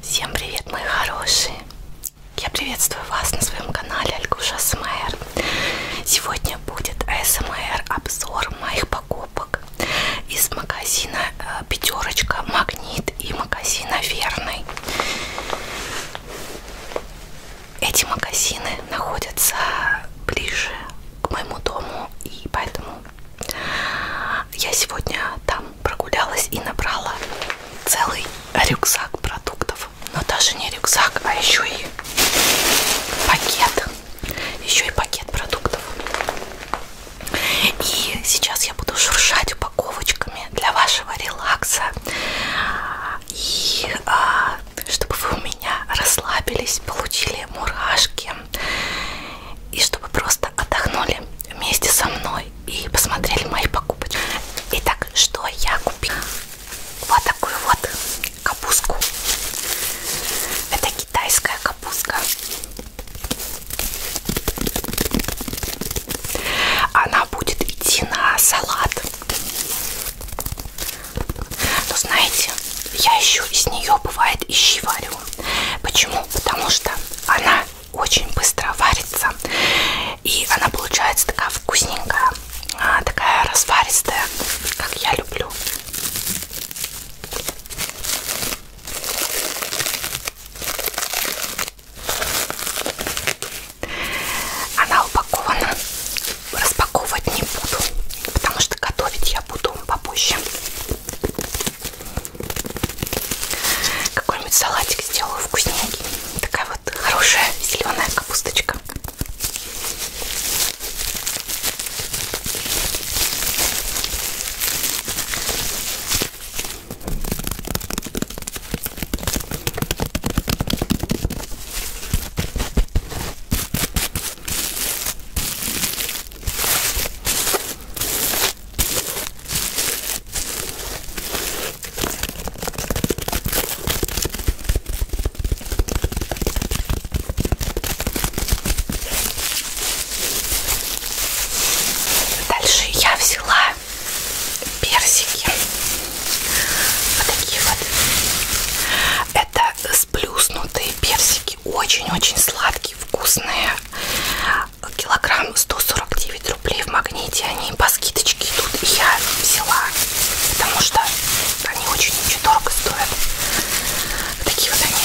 Всем привет, мои хорошие! Я приветствую вас на своем канале Алькуша СМР. Сегодня будет СМР обзор моих покупок из магазина э, Пятерочка Магнит и магазина Верный. Эти магазины находятся ближе к моему дому и поэтому я сегодня там прогулялась и набрала целый рюкзак продуктов. Но даже не рюкзак, а еще и пакет. Еще и пакет продуктов. И сейчас я буду шуршать упаковочками для вашего релакса. И а, чтобы вы у меня расслабились, получили мурашки. И чтобы просто отдохнули вместе со мной и посмотрели мои покупочки. Итак, что я купила? Вот такую вот капустку. Это китайская капустка. Она будет идти на салат. Но знаете, я еще из нее бывает ищи варю. Почему? Потому что она очень быстро варится. И она получается такая вкусненькая, а, такая разваристая, как я люблю. Она упакована. Распаковывать не буду, потому что готовить я буду попозже. Какой-нибудь салатик сделаю вкусненький. Такая вот хорошая зеленая капусточка. Дальше я взяла персики. Вот такие вот. Это сплюснутые персики. Очень-очень сладкие, вкусные килограмм 149 рублей в магните они по скидочке идут и я взяла потому что они очень очень дорого стоят такие вот они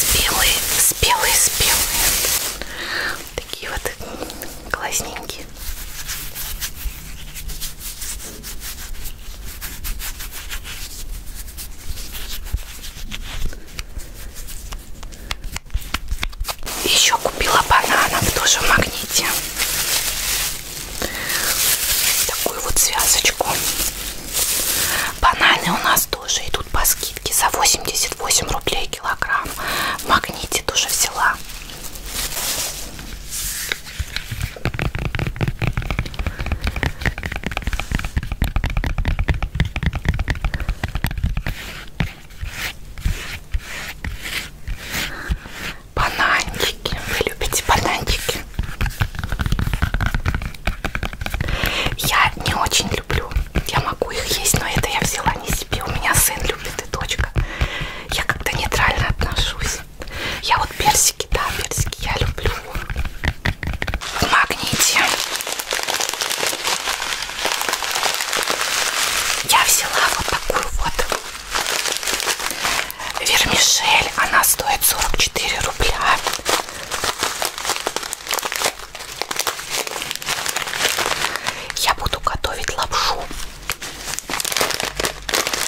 спелые спелые спелые такие вот классненькие еще купила бананов тоже в магните. Такую вот связочку. Бананы у нас тоже идут по скидке за 88 рублей килограмм. В магните тоже взяла. Бананчики. Вы любите бананчики? Я не очень люблю. Я могу их есть, но это я взяла не себе. У меня сын любит и дочка. Я как-то нейтрально отношусь. Я вот персики, да, персики я люблю. В магните я взяла вот такую вот вермишель. Она стоит 44 рубля. Я буду готовить лапшу.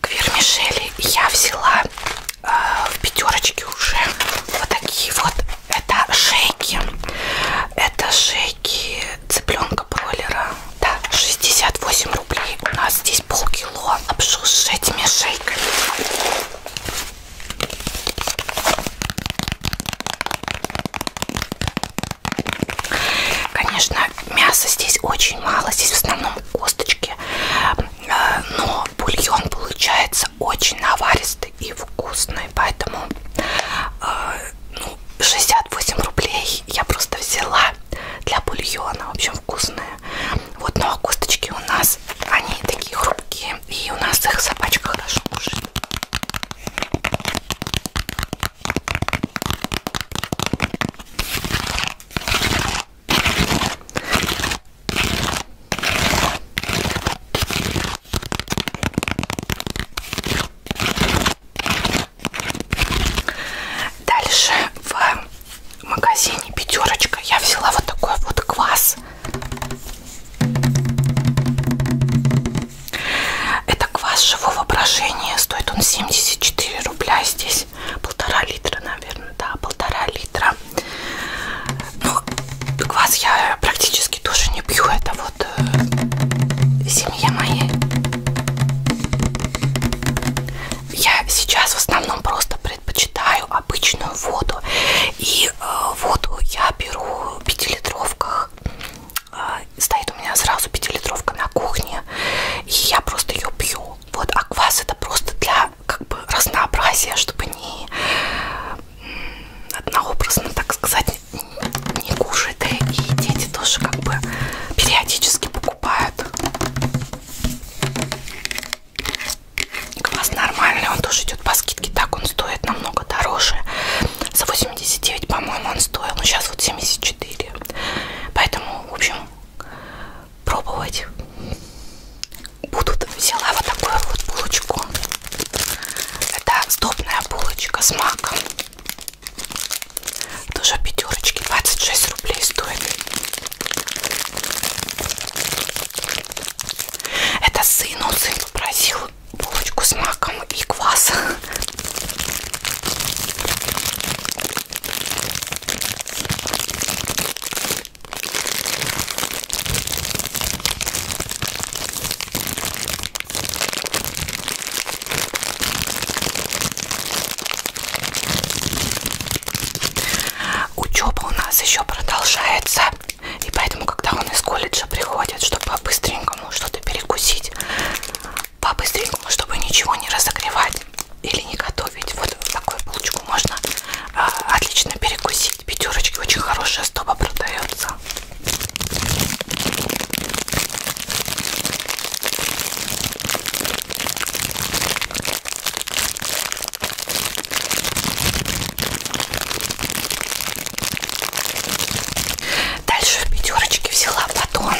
К вермишели я взяла э, в пятерочке уже вот такие вот. Это шейки. Это шейки цыпленка бройлера. Да, 68 рублей. У нас здесь полкило. Обшел с этими шейками. Конечно, мяса здесь очень мало, здесь в основном косточки, э, но бульон получается очень наваристый и вкусный, поэтому э, ну, 68 рублей я просто взяла для бульона, в общем вкусные. Вот, ну а косточки у нас, они такие хрупкие, и у нас их собачка хорошо кушает. Дальше в магазине пятерочка я взяла вот такой вот квас это квас живого брожения. Стоит он 74 рубля. Здесь полтора литра, наверное. Да, полтора литра. Ну, квас я практически тоже не пью. Это вот э, семья моей. Я сейчас в основном просто предпочитаю обычную воду. И э, воду я беру в 5-литровках. Э, стоит у меня сразу пятилитровка на кухне, и я просто ее пью. Вот, а квас это просто для как бы разнообразия, чтобы не однообразно, так сказать, не кушать. Да и дети тоже как бы периодически покупают. И квас нормальный, он тоже идет по скидке, так он стоит намного дороже. За 89, по-моему, он стоил. Ну, сейчас вот 74. Поэтому, в общем, пробовать будут. Взяла вот такую вот булочку. Это сдобная булочка с маком. Тоже пятерочки. 26 рублей стоит. Это сыну, сын попросил булочку с маком и квас. Учеба у нас еще продолжается, и поэтому, когда он из колледжа приходит, чтобы быстренько самому что-то перекусить по-быстренькому, чтобы ничего не разогревать или не готовить. Вот такую булочку можно а, отлично перекусить. Пятерочки очень хорошая стоба продается. Дальше в пятерочке взяла батон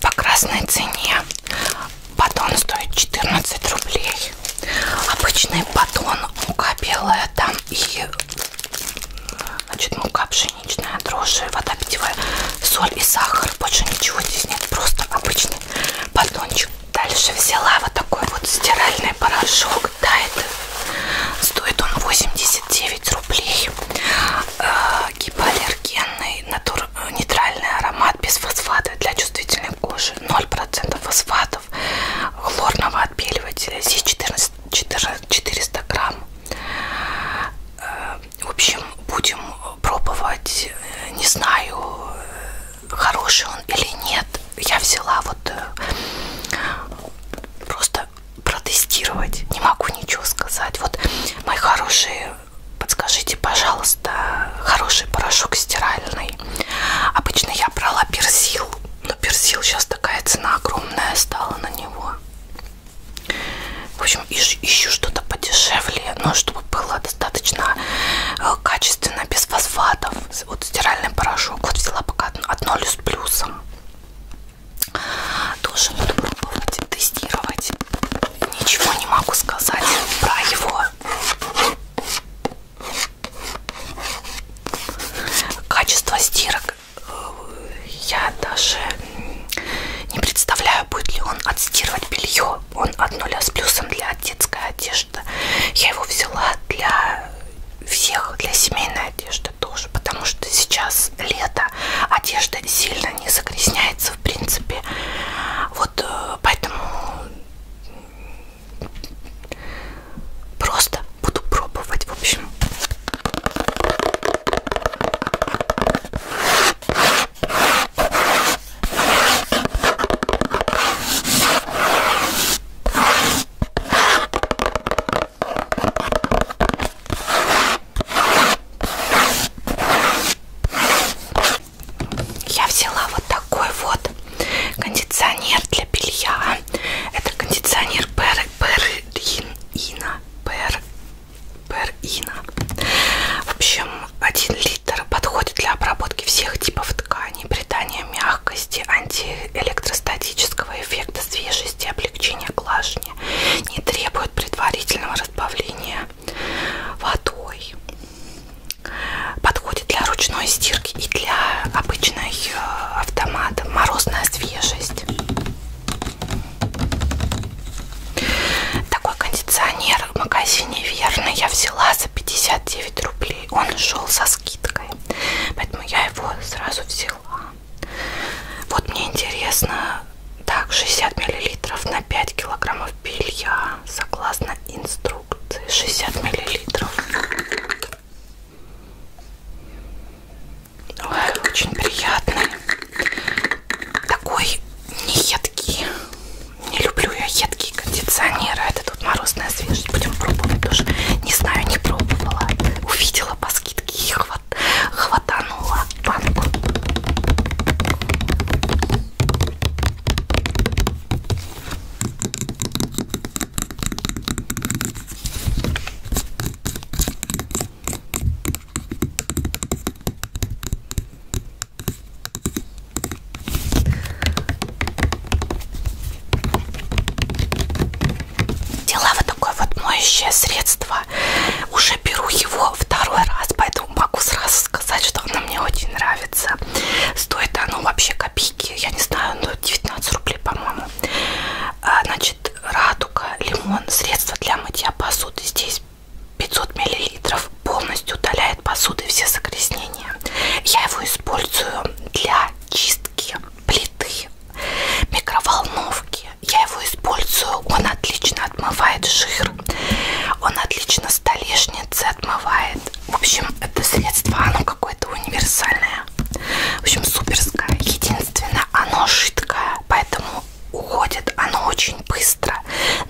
по красной цене. Батон стоит 14 рублей. Обычный батон, мука белая там и значит, мука пшеничная, дрожжи, вода питьевая, соль и сахар. Больше ничего здесь нет, просто обычный батончик. Дальше взяла вот такой вот стиральный порошок. Маск Тайт. Стоит он 89 рублей. Э, гипоаллергенный, натур... нейтральный аромат без фосфата для чувствительной кожи. 0% фосфатов, хлорного отбеливателя. Здесь 14, 14, 400 грамм. Э, в общем, будем пробовать. Не знаю, хороший он или нет. Я взяла вот э, просто протестировать. Не могу ничего сказать. Вот, мои хорошие, подскажите, пожалуйста, хороший порошок стиральный. Обычно я брала персил, но персил сейчас такая цена огромная стала на него. В общем, ищу, ищу что-то подешевле, но чтобы было достаточно э, качественно, без фосфатов. Вот стиральный порошок. Вот взяла пока от 0 с плюсом. Тоже буду пробовать, тестировать. Ничего не могу сказать про его качество стирок. Я даже не представляю, будет ли он отстирывать белье. Он от нуля с плюсом для детской одежды. Я его взяла для всех, для семейной одежды одежда тоже, потому что сейчас лето, одежда сильно не загрязняется, в принципе. Вот э, поэтому просто буду пробовать, в общем. Я взяла вот такой вот кондиционер для белья. Это кондиционер Пер Перина. Пер Перина. В общем, 1 литр подходит для обработки всех типов тканей, придания мягкости, анти электростатического эффекта свежести, облегчения глажения, не требует предварительного разбавления водой. Подходит для ручной стирки и для обычной э, автомата. Морозная свежесть. Такой кондиционер в магазине Верно я взяла за 59 рублей. Он шел со скидкой. Поэтому я его сразу взяла взяла. Вот мне интересно, так, 60 миллилитров на 5 килограммов белья, согласно инструкции, 60 миллилитров. Ой, очень приятный. Такой не едкий. Не люблю я едкие кондиционеры. А Это тут морозная свежесть. Будем пробовать тоже. Не знаю, не пробовала. Увидела по скидки и хват, хватанула банку. Дела вот такое вот моющее средство. Уже беру его второй раз, поэтому могу сразу сказать, что оно мне очень нравится. Стоит оно вообще копейки, я не знаю, но ну, 19 рублей, по-моему. А, значит, радуга, лимон, средство для мытья посуды. Здесь 500 миллилитров полностью удаляет посуды все загрязнения. Я его использую для чистки плиты, микроволновки. Я его использую, он отлично отмывает жир, он отлично столешницы отмывает. В общем, это средство, оно какое-то универсальное. В общем, суперское. Единственное, оно жидкое, поэтому уходит оно очень быстро,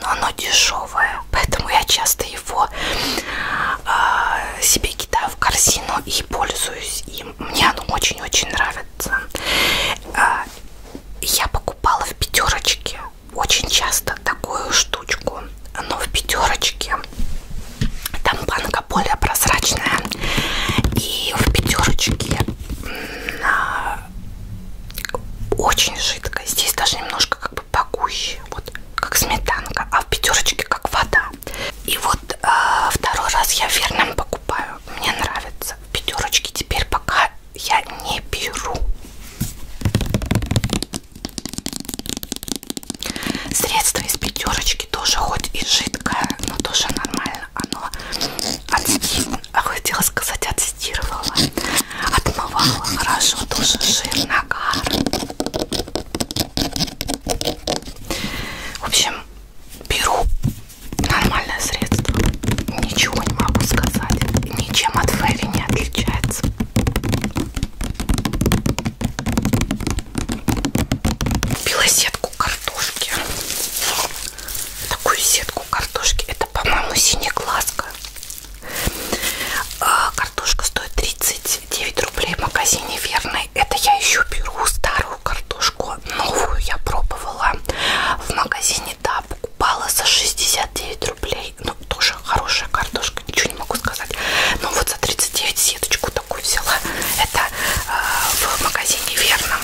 но оно дешевое. Поэтому я часто его э, себе кидаю в корзину и пользуюсь им мне оно очень-очень нравится. А, я покупала в пятерочке очень часто такую штучку, но в пятерочке там банка более прозрачная, и в пятерочке а, очень жидкая. Здесь даже немножко как бы погуще, вот как сметанка, а в пятерочке как вода да. И вот э, второй раз я верным покупаю. Мне нравится. Пятерочки теперь пока я не беру. Средство из пятерочки тоже хоть и жидкое, но тоже нормально. Оно отстирывало, а хотела сказать, отстирывало. Отмывало хорошо, тоже жир, нагар. В общем, беру нормальное средство. Ничего не могу сказать. Ничем от Фэри не отличается. Купила сетку картошки. Такую сетку картошки. Это, по-моему, синяя глазка. А, картошка стоит 39 рублей в магазине Верной. Это я еще беру старую картошку новую я пробовала в магазине, да, покупала за 69 рублей, ну, тоже хорошая картошка, ничего не могу сказать, но вот за 39 сеточку такую взяла, это э, в магазине верно,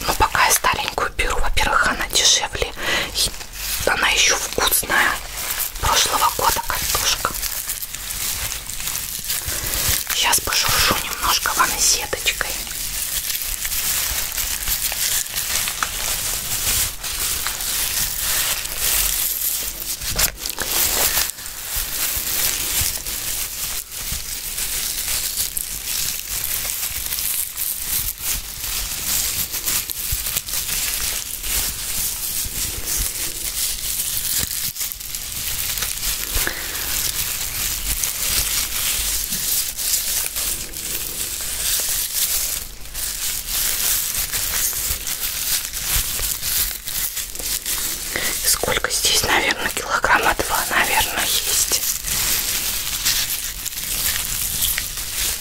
но ну, пока я старенькую беру, во-первых, она дешевле, и она еще вкусная, прошлого года картошка, Сейчас пошуршу немножко ванной сеточкой. Сколько здесь, наверное, килограмма два, наверное, есть.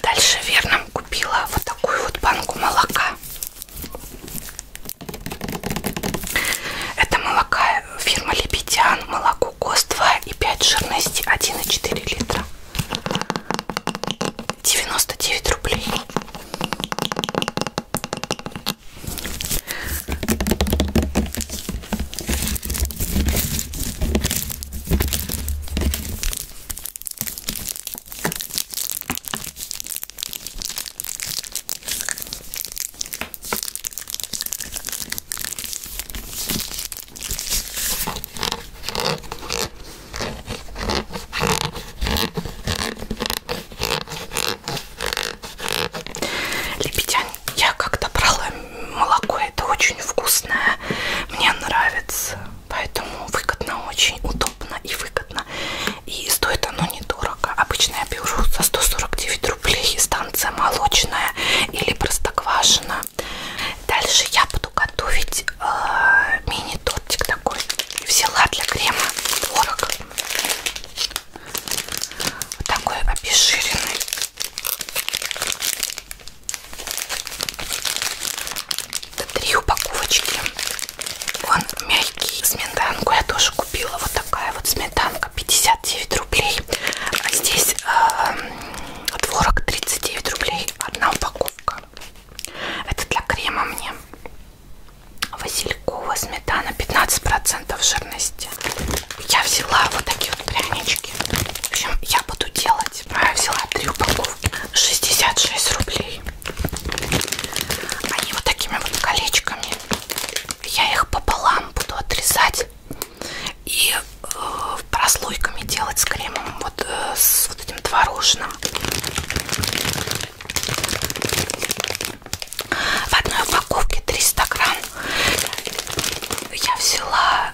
Дальше верно купила вот такую вот банку молока. Это молока фирма Лебедян, молоко ГОСТ 2 и 5 жирности 1,4 литра. 99 рублей. Лепетянь. Я как-то брала молоко, это очень вкусное, мне нравится, поэтому выгодно, очень удобно и выгодно выгодно. И стоит оно недорого. Обычно я беру за 149 рублей станция молочная или простоквашина. Дальше я буду готовить э, мини-тортик такой. Взяла для крема творог. Вот такой обезжиренный. Это три упаковочки. Он мягкий. Сметанку я тоже купила вот такая вот сметанка 59 рублей а здесь э, творог 39 рублей одна упаковка это для крема мне василькова сметана 15 процентов жирности я взяла вот такие вот прянички в общем я буду делать я взяла три упаковки 66 рублей они вот такими вот колечками я их пополам буду отрезать и э, прослойками делать с кремом, вот э, с вот этим творожным. В одной упаковке 300 грамм я взяла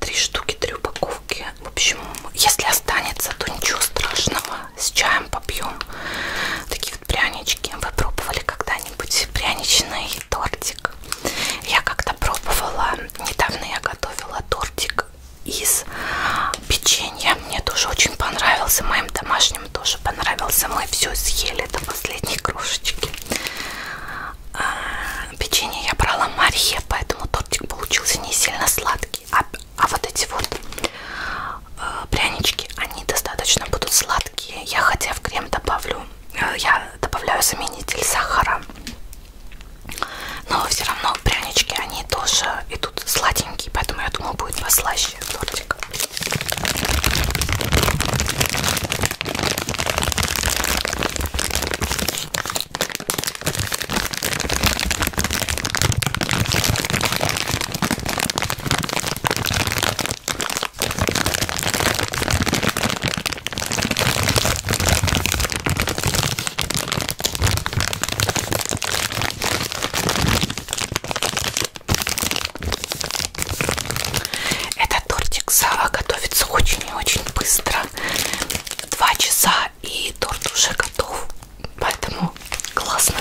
три штуки, три упаковки. В общем, если останется, то ничего страшного. С чаем попьем. Такие любит прянички, вы пробовали когда-нибудь пряничный тортик? Я как-то пробовала, недавно я готовила тортик из печенья, мне тоже очень понравился, моим домашним тоже понравился, мы все съели до последней крошечки. А, печенье я брала Марье, поэтому тортик получился не сильно сладкий, а, а вот эти вот Э, прянички, они достаточно будут сладкие. Я хотя в крем добавлю, э, я добавляю заменитель сахара, но все равно прянички, они тоже идут сладенькие, поэтому я думаю будет послаще тортик. Этот тортик Сава готовится очень и очень быстро. Два часа и торт уже готов. Поэтому классно.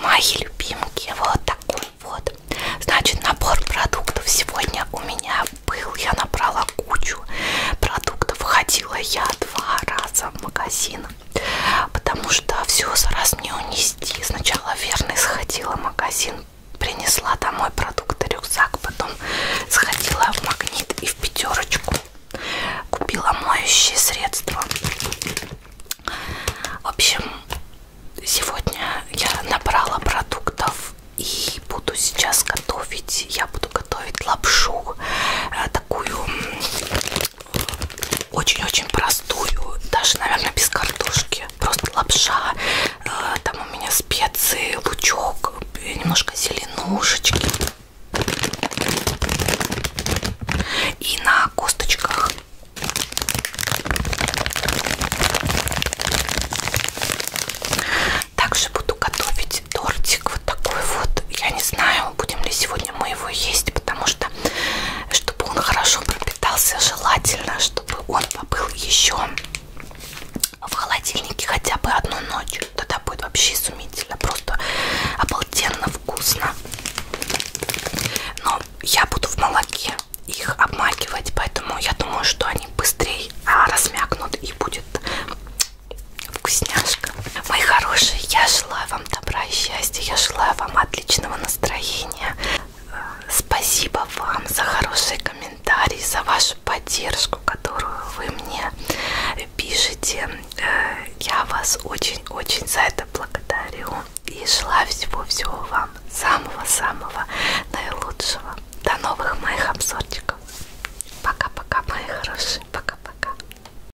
Мои любимки, вот такой вот. Значит, набор продуктов сегодня у меня был. Я набрала кучу продуктов. Ходила я два раза в магазин потому что все за раз мне унести. Сначала верно сходила в магазин, принесла домой продукты, рюкзак, потом сходила в магнит и в пятерочку, купила моющие средства. В общем, сегодня я набрала продуктов и буду сейчас готовить. Я буду готовить лапшу, э, такую очень-очень простую, даже, наверное, без картошки. Просто лапша, э, там у меня специи, лучок, немножко зеленушечки. И на косточках. Также буду готовить тортик вот такой вот. Я не знаю, будем ли сегодня сегодня мы его есть, потому что, чтобы он хорошо пропитался, желательно, чтобы он побыл еще в холодильнике хотя бы одну ночь. Тогда будет вообще изумительно, просто обалденно вкусно. Но я буду в молоке их обмакивать, поэтому я думаю, что они быстрее а, размякнут и будет вкусняшка. Мои хорошие, я желаю вам добра и счастья, я желаю вам отличного настроения. Спасибо вам за хорошие комментарии, за вашу поддержку, которую вы мне пишете. Э, я вас очень-очень за это благодарю. И желаю всего-всего вам самого-самого наилучшего. До новых моих обзорчиков. Пока-пока, мои хорошие. Пока-пока.